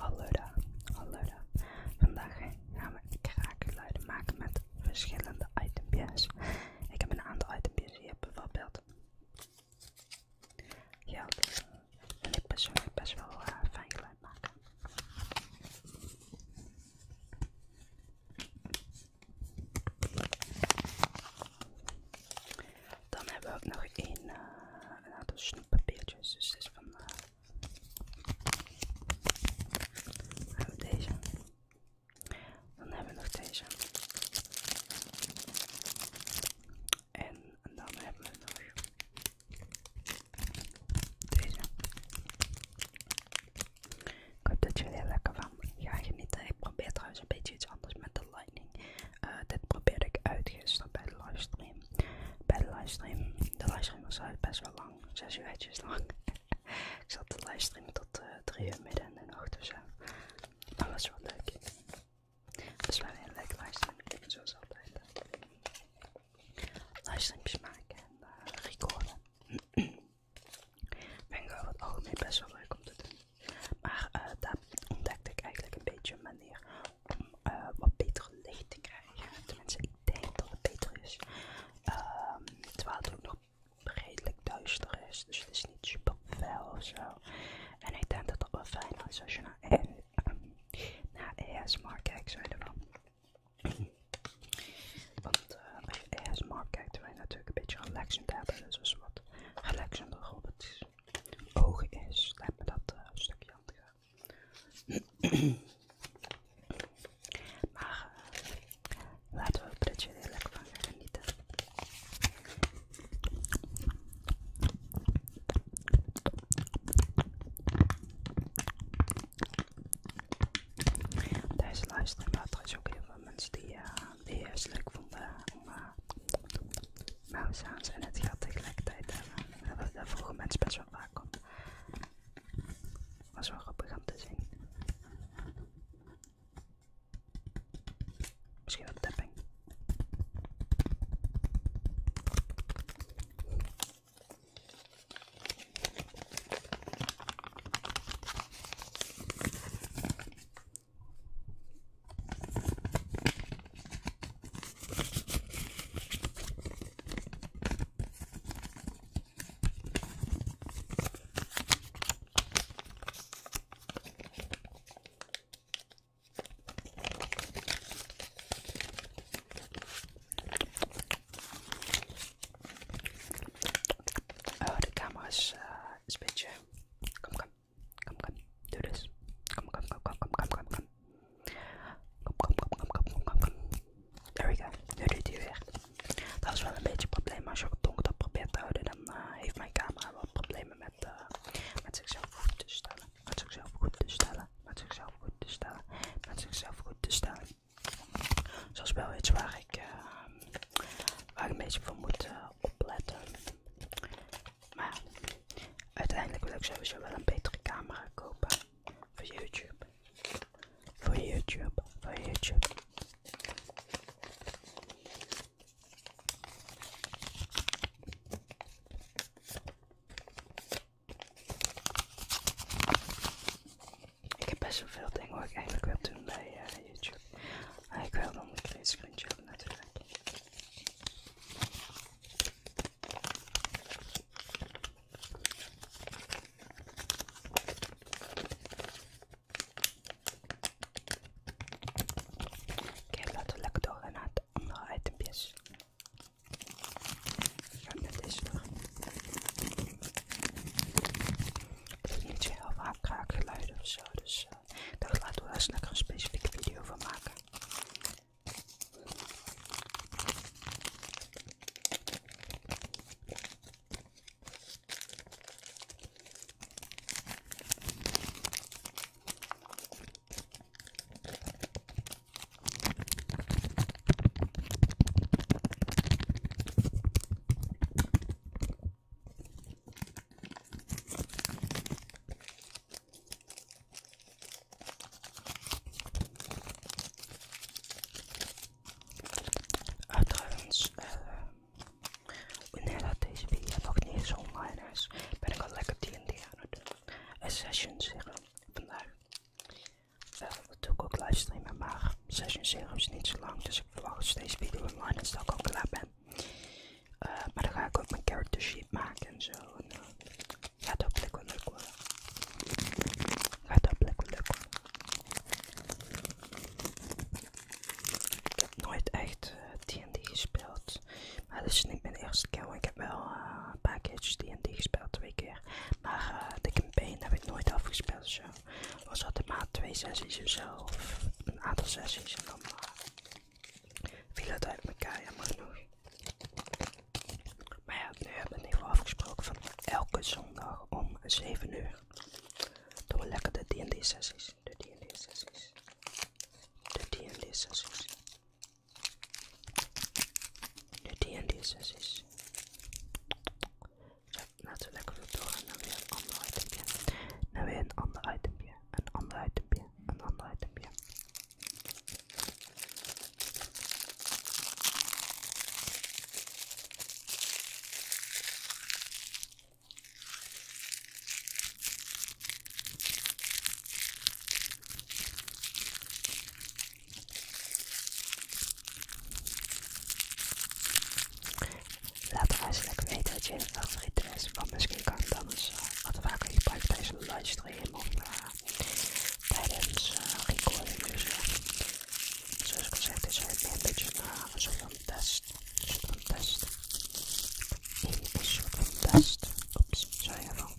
Hallo hallo Vandaag gaan we kraakgeluiden maken met verschillende itempjes. Ik heb een aantal itempjes hier, bijvoorbeeld ja, En ik persoonlijk best wel eh, fijn geluid maken. Dan hebben we ook nog een, eh, een aantal snippertje's Dus dus van. dan eh, hebben we deze. Dan hebben we nog deze. En dan hebben we nog deze. Ik hoop dat jullie er lekker van gaan genieten. Ik probeer trouwens een beetje iets anders met de eh, dit probeerde ik uit gisteren bij de livestream. Bij de livestream. De livestream was uit best wel lang, 6 uurtjes lang. ik zat de livestream tot 3 eh, uur midden in de nacht of zo. Dat was wel leuk. Het is wel een hele livestream, zoals altijd. Livestreams maken en eh, recorden. recorden. ben ik over het algemeen best wel leuk om te doen. Maar daar ontdekte ik eigenlijk een beetje een manier om eh, wat betere licht te krijgen. Tenminste, ik denk dat het beter is. Ehm, terwijl het ook nog redelijk duister is, dus het is niet super fel of zo. En ik denk dat het wel fijn is als je naar, ES naar ASMR kijkt, zo wel. Want uh, als je ASMR kijkt, natuurlijk een beetje relaxend hebben, dus wat relaxender op het Oog is. Laat me dat eh, stukje handelen. maar eh, laten we er heel lekker van gaan genieten. Deze luisteren, maar er is ook heel veel mensen die, eh, die het leuk vonden om uh, mouwzaans zijn het gat tegelijkertijd hebben. Dat, dat mensen best wel vaak om. Was wel grappig om te zien. Misschien wat tapping. Oh, de camera is, uh, een beetje... Kom, kom. Kom kom, do this. Dus. Kom kom kom kom kom kom Kom, kom, kom, kom, kom, kom, kom. There we go. Nu doet hij weer. Dat is wel een beetje een probleem. Als je op donker dat probeert te houden, dan eh, heeft mijn camera wel problemen met, eh, met zichzelf goed te stellen. Met zichzelf goed te stellen. Met zichzelf goed te stellen. Met zichzelf goed te stellen. Zoals wel iets waar ik, eh, waar ik een beetje voor moet opletten. Maar uiteindelijk wil ik sowieso wel een betere camera kopen. Voor YouTube. Voor YouTube. Voor YouTube. Ik heb best wel veel dingen wat ik eigenlijk wil doen bij eh, YouTube. ik wil nog een klein screentje natuurlijk. Oké, laten we lekker doorgaan naar het andere itempjes. Het is niet zo heel vaak kraakgeluiden of zo, dus luisteren. laten we daar een specifieke video van maken. Uh, trouwens, eh, wanneer dat deze video nog niet zo online is, ben ik al lekker D&D aan het doen. Een eh, session zeggen vandaag. natuurlijk eh, dat doe ik ook livestreamen, maar session serum is niet zo lang, dus ik verwacht als deze video online is dat ik al klaar ben. Eh, maar dan ga ik ook mijn character sheet maken en zo. Ja dat eh, gaat ook wel leuk worden. Gaat hopelijk lekker leuk Ik heb nooit echt D&D eh, gespeeld. Maar dat is niet mijn eerste keer. ik heb wel uh, een D&D gespeeld, twee keer. Maar uh, de campaign heb ik nooit afgespeeld. Zo was altijd maar twee sessies of zelf een aantal sessies en dan viel het uit elkaar, jammer genoeg. Maar ja, nu hebben we in ieder geval afgesproken van elke zondag om 7 uur doen we lekker de DND sessies, de DND sessies, de DND sessies, de DND sessies. Zo, laten we lekker weer doorgaan naar weer een ander itempje. Naar weer een ander itempje. Een ander itempje. Een ander itempje. Laat de lekker weten wat je favoriete is, want misschien kan ik dan eens uh, eh, wat vaker gebruiken tijdens livestream of eh, tijdens eh, recording. Dus zoals ik al zei, is het een beetje een soort van test. Een soort van test. Een soort van test. Oeps, sorry ervan.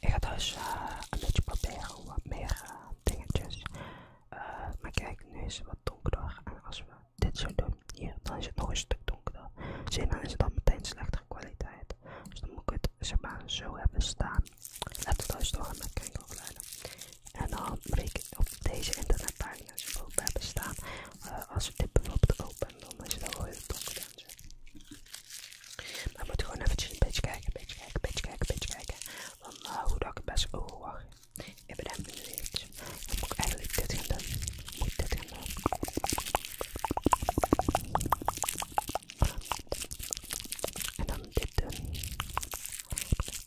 Ik ga thuis eh, een beetje proberen wat meer eh, dingetjes. Eh, maar kijk, nu is het wat donkerder. En als we dit zo doen hier, dan is het nog een stuk donkerder. Zie je, dan is het al meteen slechtere kwaliteit. Dus dan moet ik het zo hebben staan. Laten we thuis nog met kijken of en dan breek ik op deze internetpagina's die open hebben staan. als ik dit bijvoorbeeld open, dan is het wel heel donker Maar moet gewoon even een beetje kijken, een beetje kijken, beetje kijken, beetje kijken. Van eh, hoe dat ik het best overwacht. Oh, ik ben nu Dan moet ik eigenlijk dit gaan doen. Moet ik dit gaan doen. En dan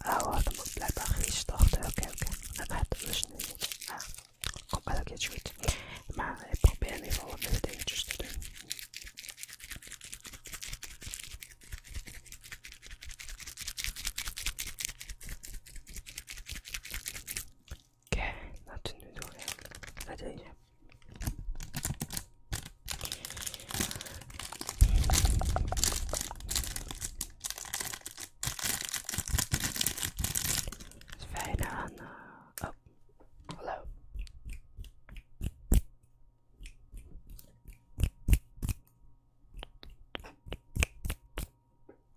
Ah, Oh, dat moet blijkbaar gisteren. Oké, oké. Dat gaat dus niet. Ah, komt wel een keertje goed. Maar ik probeer nu ieder geval wat meer te doen. Oké, laten we nu doorheen we deze. Fijne dus eh, oh, hallo.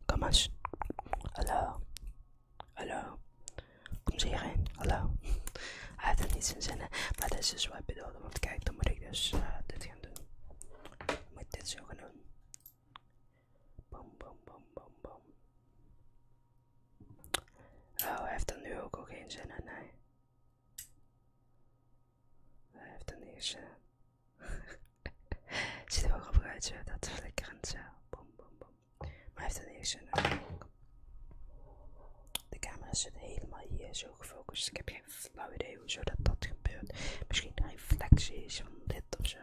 Kom eens. Hallo. Hallo. Kom ze hierheen, Hallo. Hij heeft er niets in zinnen, maar dat is dus wat bedoel. Want kijk, dan moet ik dus eh, dit gaan doen. Dan moet ik dit zo gaan doen. Bam, bam, bam, bam, bam. Oh, hij heeft er nu ook al geen zin in, nee. Hij heeft er niet zin zie er wel grappig uit, zo. Dat flikkerend, zo. Bam, bam, boom. Maar hij heeft er niet zin in. De camera zit helemaal hier zo gefocust. Ik heb geen flauw idee hoe dat dat gebeurt. Misschien een reflectie is van dit of zo.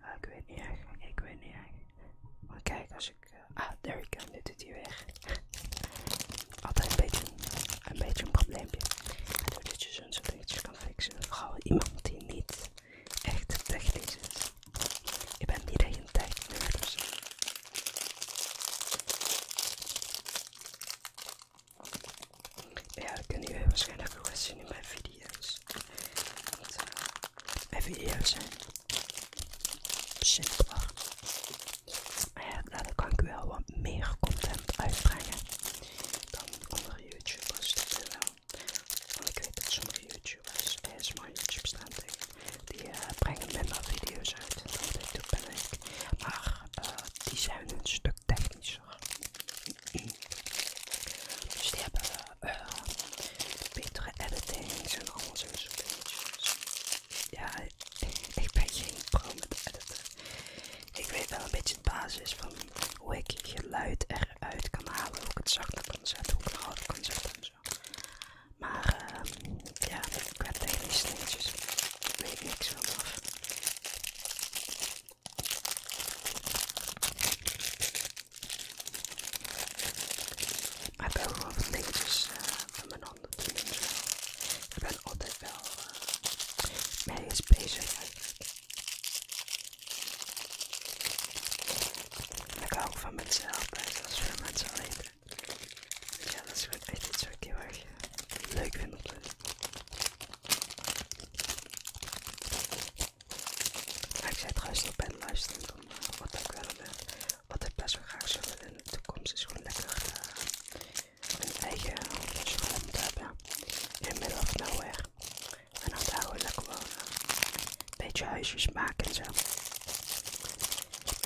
Ah, ik weet niet echt. Ik weet niet echt. Maar kijk, als ik. Eh, ah, there we go. Nu doet hij weg. Altijd een beetje een, beetje een probleempje. Doordat je zo'n soort kan fixen. Vooral iemand die niet echt technisch is. Ik ben niet echt een ja, dat kunnen jullie waarschijnlijk wel zien in mijn video's. Want, eh, mijn video's zijn simpeler. Maar ja, nou, daar kan ik wel wat meer content uitbrengen dan andere YouTubers. Dat wel. Want ik weet dat sommige YouTubers eh, mijn YouTube stand. tegen die eh, brengen minder video's uit dan ben ik. Maar eh, die zijn een stuk technischer. Dus die hebben eh, betere editings en alles en zo. Ja, ik ben geen pro met editen. Ik weet wel een beetje de basis van hoe ik geluid eruit kan halen, hoe ik het zachte kan zetten, hoe ik het harde kan zetten maar uh, ja, ik heb tegen die sneetjes weet ik niks van af. Maar ik heb wel wat dingetjes uh, van mijn handen Ik ben altijd wel uh, mee bezig Ik hou ook van mezelf, dat is voor mensen alleen. Ja, dat is gewoon echt iets wat ik heel erg eh, leuk vind om te doen. Maar ik zei trouwens nog bij de luisteren, dan, eh, wat ik wel uh, wat ik best wel graag zou willen in de toekomst is gewoon lekker mijn een eigen school te hebben in the middle of nowhere. En dan daar ik lekker wonen beetje huisjes maken en zo.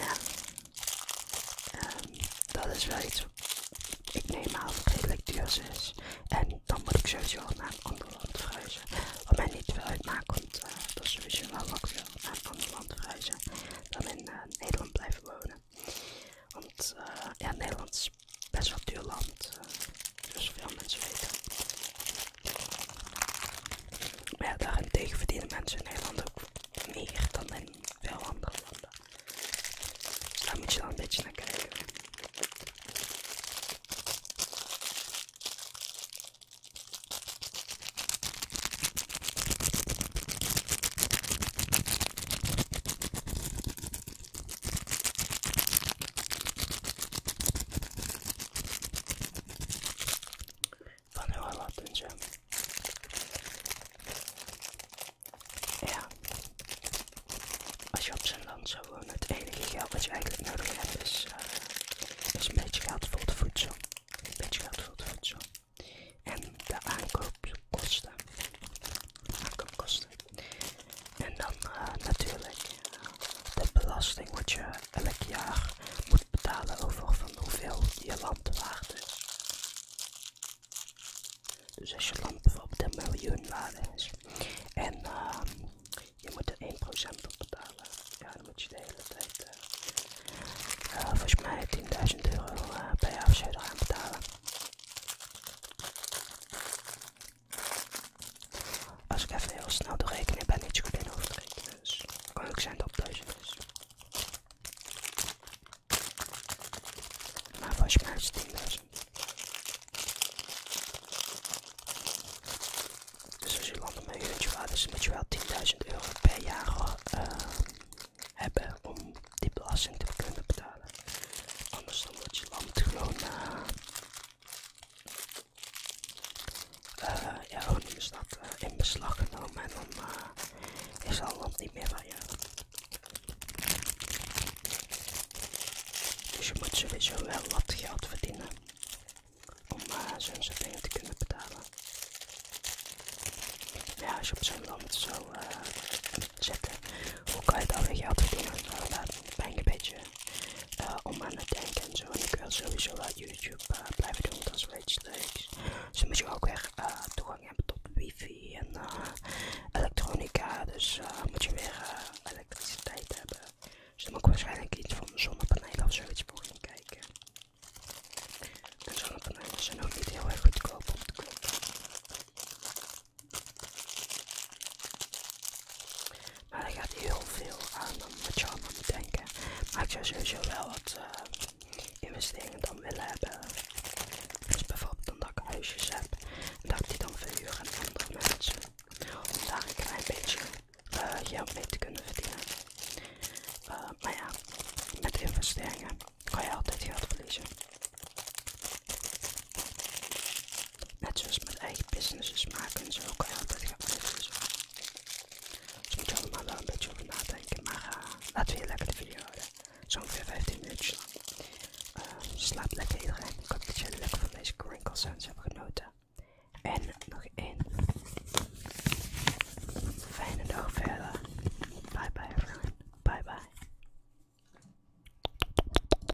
Ja. Ehm, dat is wel iets. Ik neem aan dat het is. En dan moet ik sowieso naar een ander land verhuizen. Wat mij niet veel uitmaakt, want uh, dat is sowieso wel langs naar een ander land verhuizen dan in eh, Nederland blijven wonen. Want eh, ja, Nederland is best wel duur land. dus zoals veel mensen weten. Maar ja, daarentegen verdienen mensen in Nederland ook meer dan in veel andere landen. Dus daar moet je dan een beetje naar kijken. Panela zo. Ja. Als je op zijn land zou wonen, het enige geld wat je eigenlijk nodig hebt is, eh, is een beetje geld voor het voedsel. Een beetje geld voor het voedsel. En de aankoopkosten. Aankoopkosten. En dan eh, natuurlijk de belasting wat je elk jaar moet betalen over van hoeveel je land waard is. Dus als je land bijvoorbeeld een miljoen waarde is en ehm, je moet er 1% op betalen, dan moet je de hele tijd voor eh, eh, volgens mij 10.000 euro uh, eh, bij afzet gaan betalen. Als ik even heel snel doe rekening ben ik zo goed in hoofdrekenen. Dus het kan ook zijn dat het duizend is. Maar je mij is 10.000. Dus als je landt op een uurtje dus moet je wel 10.000 euro per jaar eh, hebben om die belasting te kunnen betalen. Anders dan wordt je land gewoon uh, eh, ja, dan is dat eh, in beslag genomen en dan eh, is dat land niet meer van je. Dus je moet sowieso wel wat geld verdienen om zo'n soort dingen te kunnen betalen. Ja, als je op zo'n land zou zitten, hoe kan je dan weer geld verdienen? Nou, dat ik een beetje eh, om aan het denken en zo. En ik wil sowieso YouTube eh, blijven doen, dat is iets leuks. Dus moet je ook weer eh, toegang hebben tot wifi en elektronica. Dus moet je weer elektriciteit hebben. Dus dan moet ik waarschijnlijk iets van zonnepanelen of zoiets voor kijken. En zonnepanelen zijn ook niet heel erg goedkoop om maar er gaat heel veel aan dan wat je allemaal moet denken. Maar ik zou sowieso wel wat eh, investeringen dan willen hebben. Dus bijvoorbeeld omdat ik huisjes heb. En dat ik die dan verhuur aan andere mensen. Om daar een klein beetje eh, geld mee te kunnen verdienen. Eh, maar ja, met investeringen kan je altijd geld verliezen. Net zoals met eigen businesses maken ze ook altijd gewaardeerd. Ik dus moet allemaal wel een beetje over nadenken. Maar eh, laten we hier lekker de video houden. Zo ongeveer 15 minuutjes lang. Eh, slaap lekker iedereen. Ik hoop dat jullie lekker van deze crinkle sounds hebben genoten. En nog één. Fijne dag verder. Bye bye everyone. Bye bye.